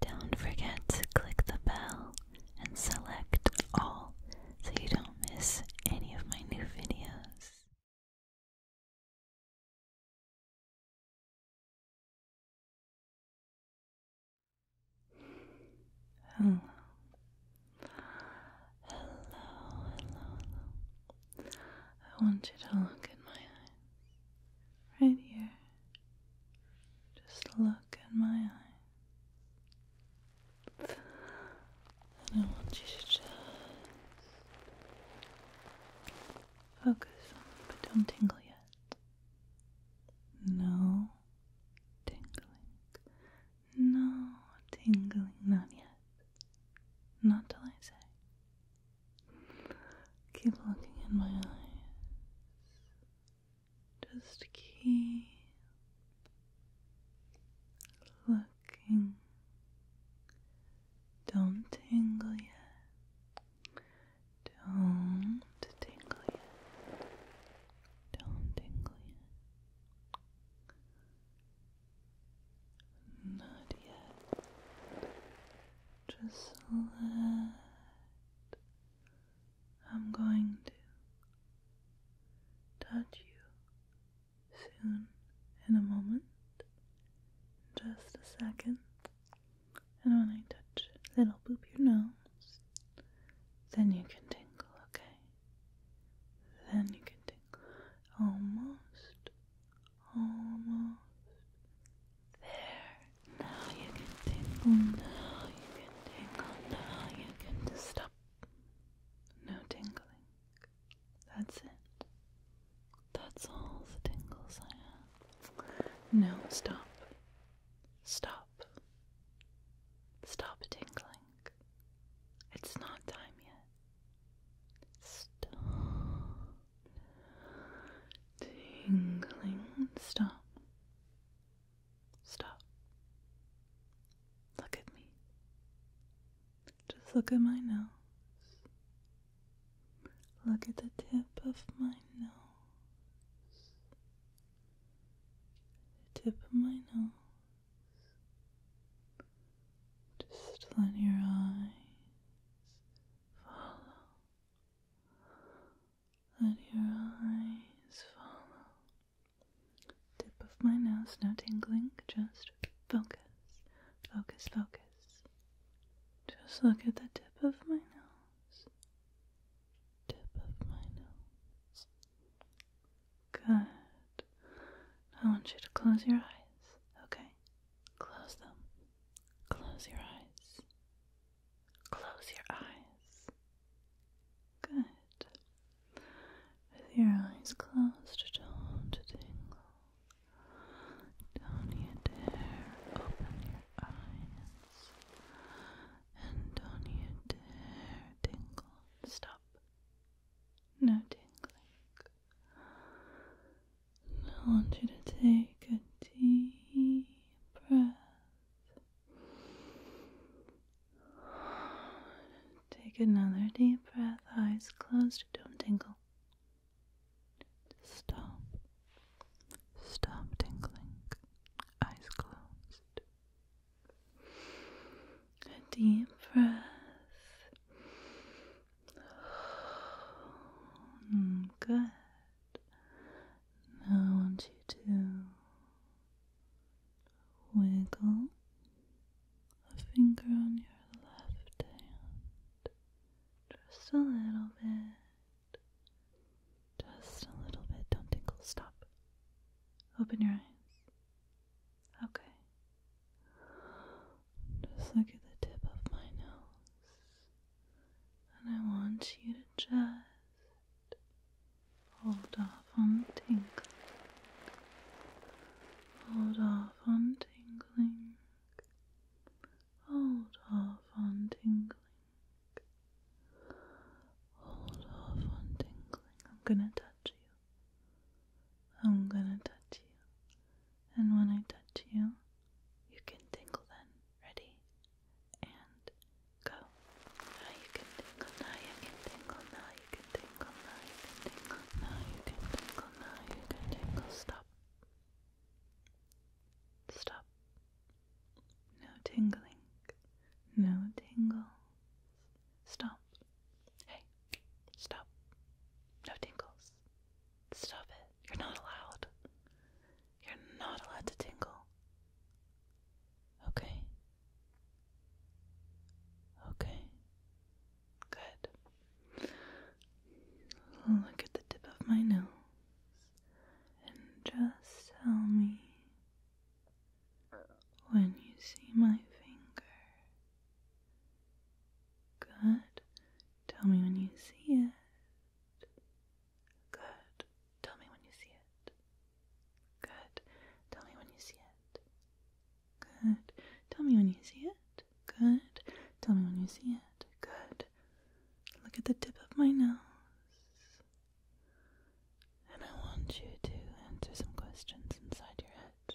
Don't forget to click the bell and select all so you don't miss any of my new videos. Hello. Hello, hello, I want you to look at my eyes right here. Just look in my eyes. And I want you to just focus but don't tingle yet. No tingling. No tingling, not yet. Not till I say. Keep looking in my eyes. Just keep looking. Don't tingle yet. Don't tingle yet. Don't tingle yet. Not yet. Just let I'm going to touch you soon in a moment, just a second. And when I touch little boop your nose, then you can tingle, okay? Then you can tingle. Almost, almost there. Now you can tingle. Now you can tingle. Now you can stop. No tingling. That's it. That's all the tingles I have. No, stop. Stop. Stop tingling. It's not time yet. Stop. Tingling. Stop. Stop. Look at me. Just look at my nose. Look at the tip of my nose. The tip of my nose. Just let your eyes follow let your eyes follow. Tip of my nose, now tingling, just focus, focus, focus. Just look at the tip of my nose. Tip of my nose. Good. I want you to close your eyes, okay? Close them. Close your eyes. Close your eyes. Good. With your eyes closed, don't tingle. Don't you dare open your eyes. And don't you dare tingle. Stop. No tingling. I want you to take a deep breath. Take another deep breath, eyes closed, don't tingle. Stop. Stop tingling, eyes closed. A deep breath Mm, good. Now I want you to wiggle a finger on your left hand just a little bit. Just a little bit. Don't tinkle. Stop. Open your eyes. Okay. Just look at the tip of my nose and I want you to just hold off on tingling. Hold off on tingling. Hold off on tingling. Hold off on tingling. I'm gonna touch you. I'm gonna touch you. And when I touch you, you can tingle then. Ready? And go. Now you can tingle, now you can tingle, now you can tingle, now you can tingle, now you can tingle, Stop. Stop. No tingling. No tingle. Stop. Hey, stop. No tingles. Stop it. You're not allowed. You're not allowed to tingle. Okay. Okay. Good. Look at the tip of my nose and just tell me when you see my finger. Good. Tell me when you see it. Good. Tell me when you see it. Good. Tell me when you see it. Good. Tell me when you see it. Good. Tell me when you see it. Good. Look at the tip of my nose. And I want you to answer some questions inside your head.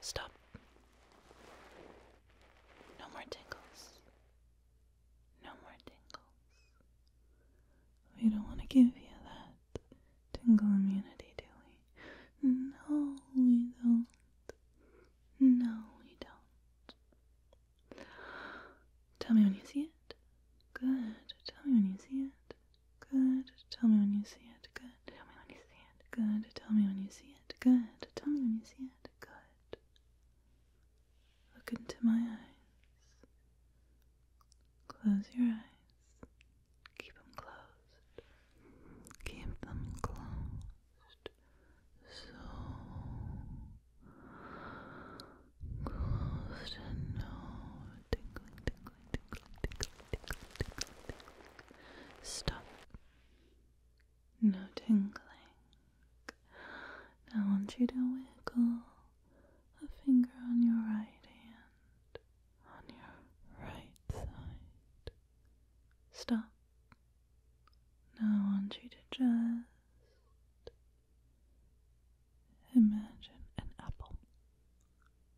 Stop. No more tingles. No more tingles. We don't want to give you that tingling immunity, do we? No, we don't. No, we don't. Tell me when you see it. Good. Tell me when you see it. Good. Tell me when you see it. Good. Tell me when you see it. Good. Tell me when you see it. Good. Tell me when you see it. Good. Look into my eyes. Close your eyes. Keep them closed. Keep them closed. So closed and no tingling, tingling, Stop. No tingling. I want you to wiggle a finger on your right hand, on your right side. Stop. Now I want you to just imagine an apple.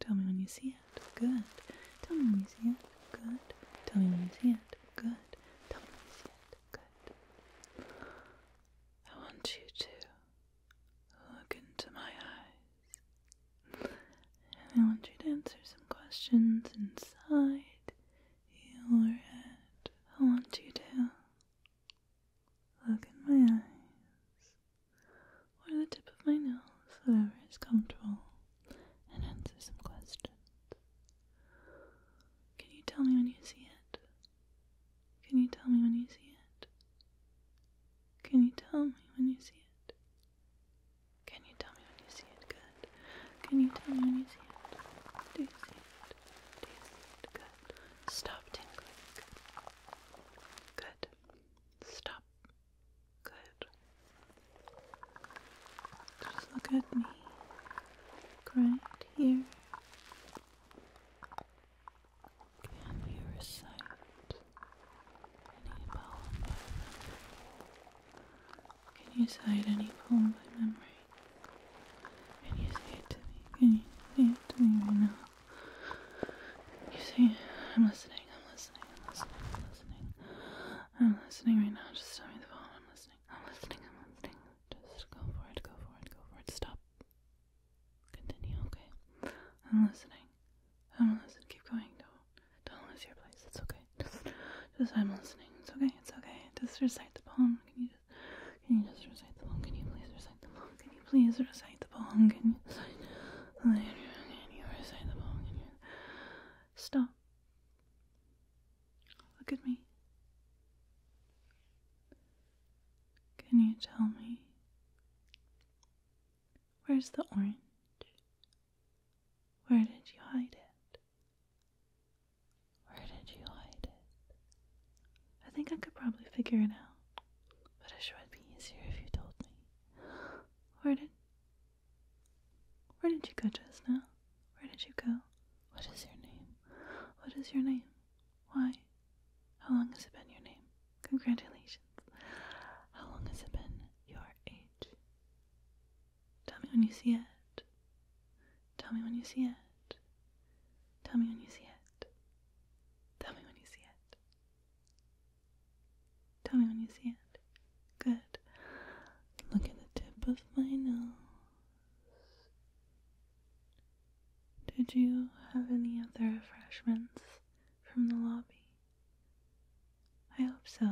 Tell me when you see it. Good. Tell me when you see it. Good. Tell me when you see it. Good. Tell me when you see it. Good. I want you to look into my eyes. And I want you to answer some questions inside your head. I want you to look in my eyes or the tip of my nose, whatever is comfortable, and answer some questions. Can you tell me when you see it? Can you tell me when you see it? Can you tell me when you see it? Can you tell me when you see it? Good. Can you tell me when you see it? Do you see it? Do you see it? Good. Stop tingling. Good. Stop. Good. Just look at me. Right here. Can you recite any poem by memory? Can you recite any poem by memory? Can you say it to me? Can you say it to me right now? You see, I'm listening, I'm listening, I'm listening, I'm listening. I'm listening right now. Just tell me the phone. I'm listening. I'm listening, I'm listening. Just go for it, go for it, go for it. Stop. Continue, okay? I'm listening. I'm listening. Keep going. Don't don't lose your place. It's okay. Just just I'm listening. It's okay, it's okay. Just recite the poem. Can you just can you just recite the poem? Can you please recite the poem? Can you please recite the poem? Can you recite? the poem? Stop. Look at me. Can you tell me? Where's the orange? Where did you hide it? Where did you hide it? I think I could probably figure it out, but I sure would be easier if you told me. Where did Where did you go just now? Where did you go? What is your name? What is your name? Why? How long has it been your name? Congratulations. How long has it been your age? Tell me when you see it. Tell me when you see it. Tell me when you see it. Tell me when you see it. Tell me when you see it. Good. Look at the tip of my nose. Did you have any of the refreshments from the lobby? I hope so.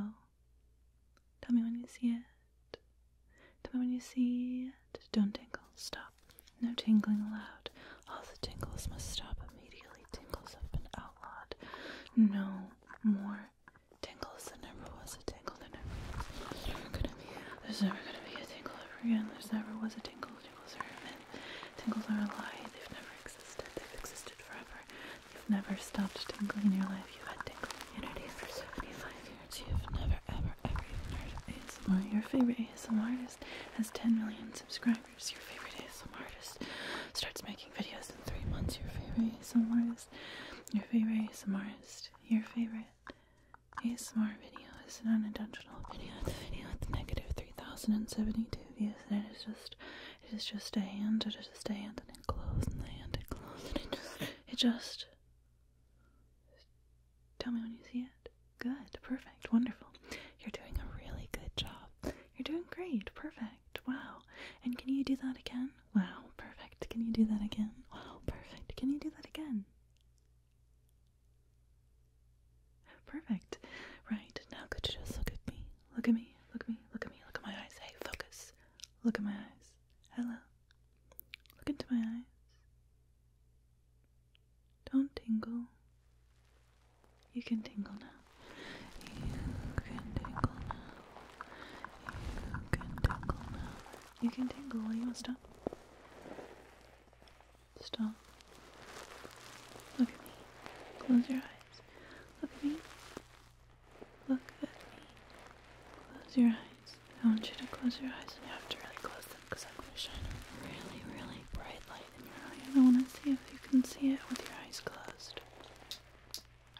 Tell me when you see it. Tell me when you see hand. Don't tingle. Stop. No tingling allowed. All the tingles must stop immediately. Tingles have been outlawed. No more tingles. There never was a tingle. There never was. There's never gonna be. There's never gonna be a tingle ever again. There's never was a tingle. Tingles are a myth. Tingles are a lie. They've never existed. They've existed forever. You've never stopped tingling in your life. You've had tingling immunity for 75 years. You've never, ever, ever even heard of ASMR. Your favorite ASMR has 10 million subscribers. Your favorite ASMR artist starts making videos in three months. Your favorite ASMR artist. Your favorite ASMR artist. Your favorite ASMR video is an unintentional video. The video with negative 3,072 views, and it is just, it is just a hand. It is just a hand, and it glows, and the hand it glows, it just, it just Tell me when you see it. Good, perfect, wonderful. You're doing a really good job. You're doing great, perfect, wow. And can you do that again? Wow, perfect. Can you do that again? Wow, perfect. Can you do that again? Perfect. Right, now could you just look at me? Look at me, look at me, look at me, look at my eyes. Hey, focus. Look at my eyes. Hello. Look into my eyes. Don't tingle. You can tingle now. You can tingle now. You can tingle now. You can tingle while you want to stop. Stop. Look at me. Close your eyes. Look at me. Look at me. Close your eyes. I want you to close your eyes and you have to really close them because I'm going to shine a really, really bright light in your eye and I want to see if you can see it with your eyes closed.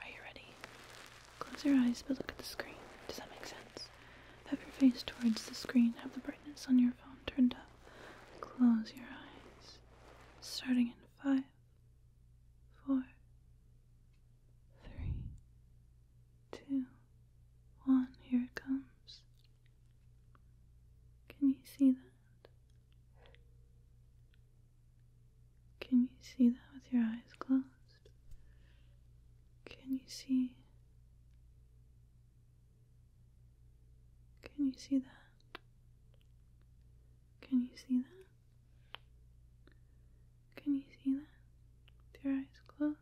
Are you ready? Close your eyes but look at the screen. Does that make sense? Have your face towards the screen. Have the brightness on your phone turned up. Close your eyes. Starting in five, four, three, two, one, here it comes. Can you see that? Can you see that with your eyes closed? Can you see? Can you see that? Can you see that? Can you see that? With your eyes closed?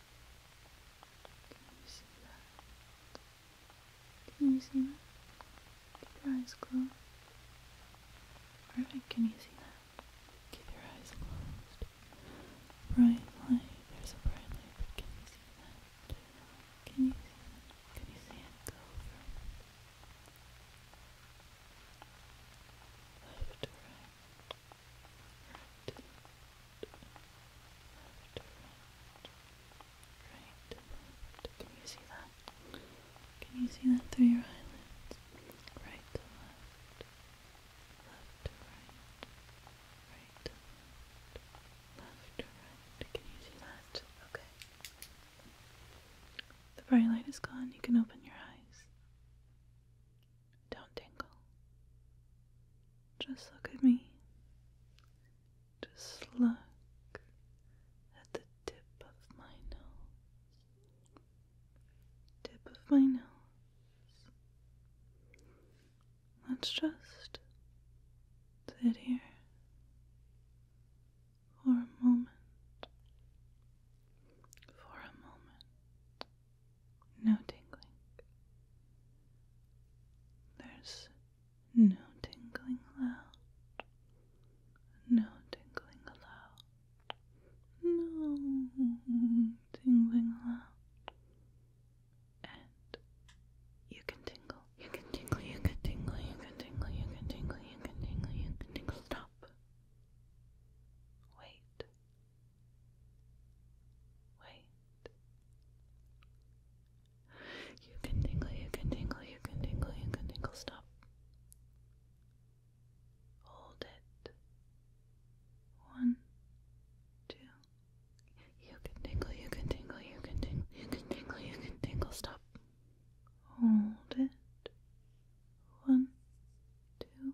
Can you see that? Can you see that? Keep your eyes closed. Perfect. Can you see that? Keep your eyes closed. Bright light. There's a bright light. But can you see that? Can you see that? Can you see it go from left to right? Can you see that? Can you see that through your eyelids? Right to left. Left to right. Right to left. Left to right. Can you see that? Okay. The bright light is gone. You can open your eyes. Don't tingle. Just look at me. Just look at the tip of my nose. Tip of my nose. Let's just sit here for a moment. For a moment no tingling. There's no tingling allowed. No tingling allowed. No tingling allowed. And you can tingle. You can tingle. You can tingle. You can tingle. You can tingle. You can tingle. You can tingle. Stop. Wait. Wait. You can tingle, you can tingle, you can tingle, you can tingle. Stop. Hold it. One, two. You can tingle, you can tingle, you can tingle, you can tingle, you can tingle. Stop. Hold it. One, two,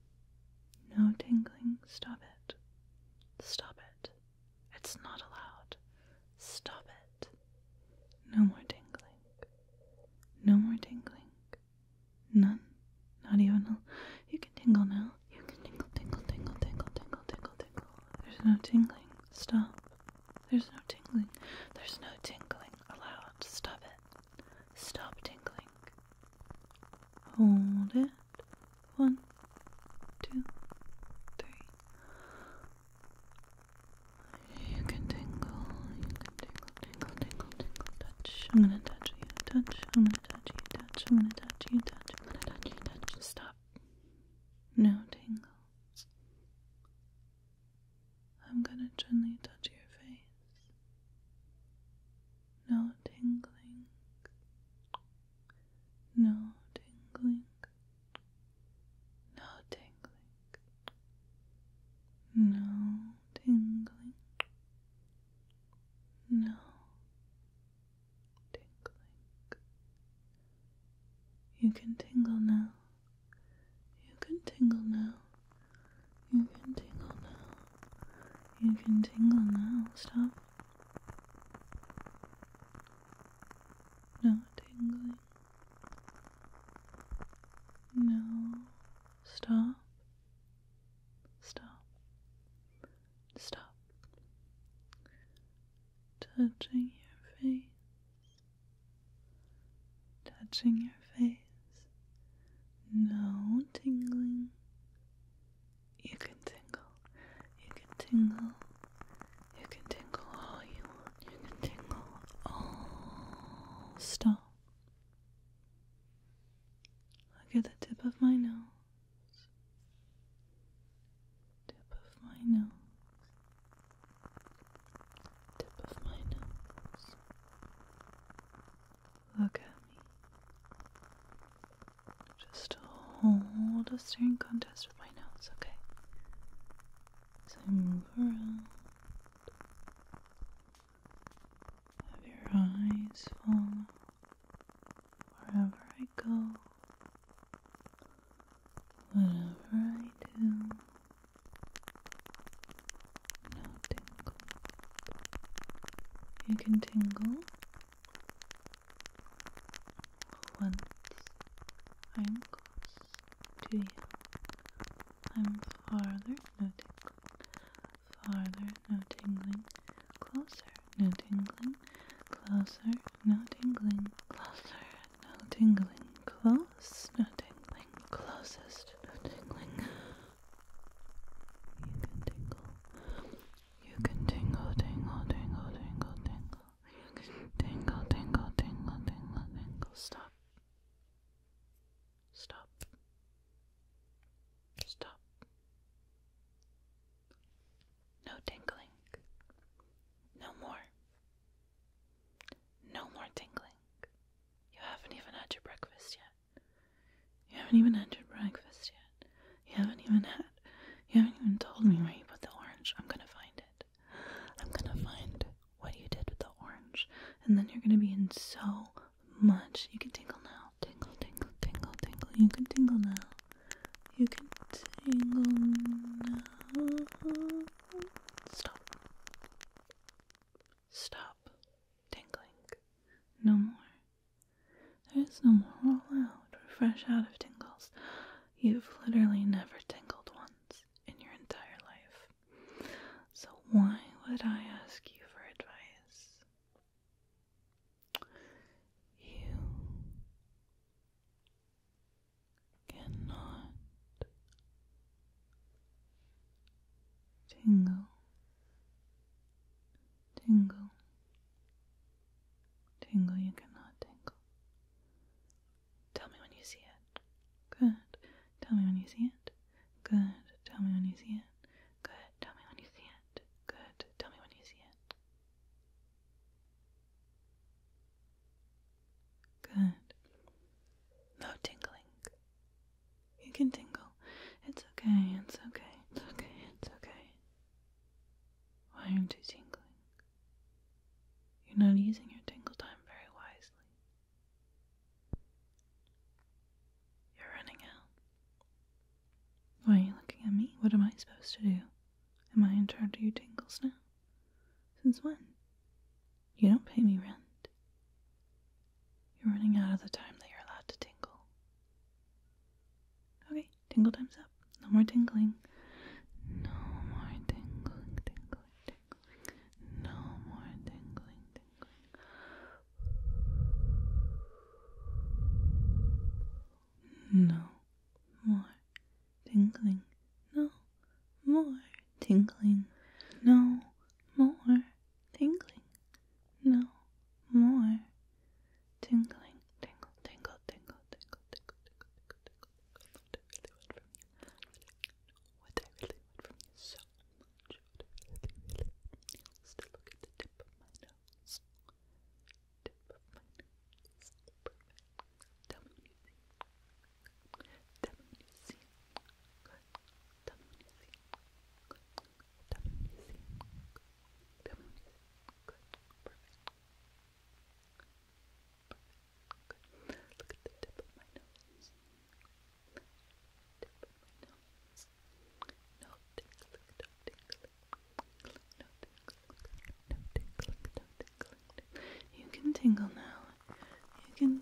No tingling. Stop it. Stop it. It's not allowed. Stop it. No more tingling. No more tingling. None. Not even a. You can tingle now. You can tingle, tingle, tingle, tingle, tingle, tingle, tingle. There's no tingling. Stop. There's no tingling. There's no tingling allowed. Stop it. Stop tingling. Hold it. One, two, three. You can tingle, you can tingle, tingle, tingle, tingle, touch. I'm gonna touch you, touch. I'm gonna touch you, touch. I'm gonna touch you, touch. I'm gonna touch you, touch. Stop. No tingles. I'm gonna gently touch your face no tingling, no tingling, no tingling, no tingling, no tingling. You can tingle now. You can tingle now. You can tingle now. You can tingle now. Stop no tingling. No. Stop. Stop. Stop. Touching your face. Touching your face. No tingling. You can tingle, you can tingle, you can tingle all you want, you can tingle all. Stop. Look at the tip of my nose, tip of my nose. Tip of my nose, Look at me. Just hold a staring contest with my nose, okay? So move around. Have your eyes follow wherever I go. Whatever I do, no you can tingle One, I'm close to I'm farther, no tingling. Farther, no tingling. Closer, no tingling. Closer, no tingling. Closer, no tingling. Close, no tingling. Closest, no tingling. You can tingle. You can tingle, tingle, tingle, tingle, tingle. tingle, tingle, tingle, tingle, tingle. Stop. Stop. Stop. No tingling. No more. No more tingling. You haven't even had your breakfast yet. You haven't even had your breakfast yet. You haven't even had. You haven't even told me where you put the orange. I'm gonna find it. I'm gonna find what you did with the orange. And then you're gonna be in so much. You can tingle now. Tingle, tingle, tingle, tingle. You can tingle now. You can tingle now. Stop. Stop. Tingling. No more. There's no more allowed or fresh out of tingles. You've literally never tingled once in your entire life. So why would I ask you for advice? You cannot tingle Tingle. Tingle you cannot tingle. Tell me when you see it. Good. Tell me when you see it. Good. Tell me when you see it. Good. Tell me when you see it. Good. Tell me when you see it. Good. No tingling. You can tingle. It's okay, it's okay, it's okay, it's okay. Why aren't you tingling? You're not using your tingle time very wisely. You're running out. Why are you looking at me? What am I supposed to do? Am I in charge of your tingles now? Since when? You don't pay me rent. You're running out of the time that you're allowed to tingle. Okay, tingle time's up. No more tingling. No more tingling, tingling, tingling. No more tingling. No more tingling. No more tingling. No more tingling. No more tingling. Tingle, tingle, tingle, tingle, tingle, tingle, tingle, tingle, What I really want from you so much. What I really, really Still look at the tip of my nose. Tip of my nose. Perfect. Tell me what you see. Tell me what you see. Good. Good. Look at the tip of my nose. Tip of my nose. No tickling, no tickling. No tickling, no tickling, no tickling. You can tingle now. You can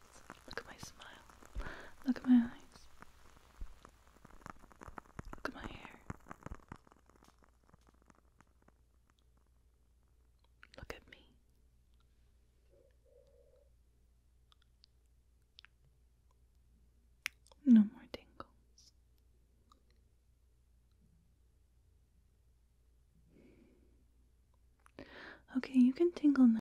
Look at my smile. Look at my eyes. Look at my hair. Look at me. No more tingles. Okay, you can tingle now.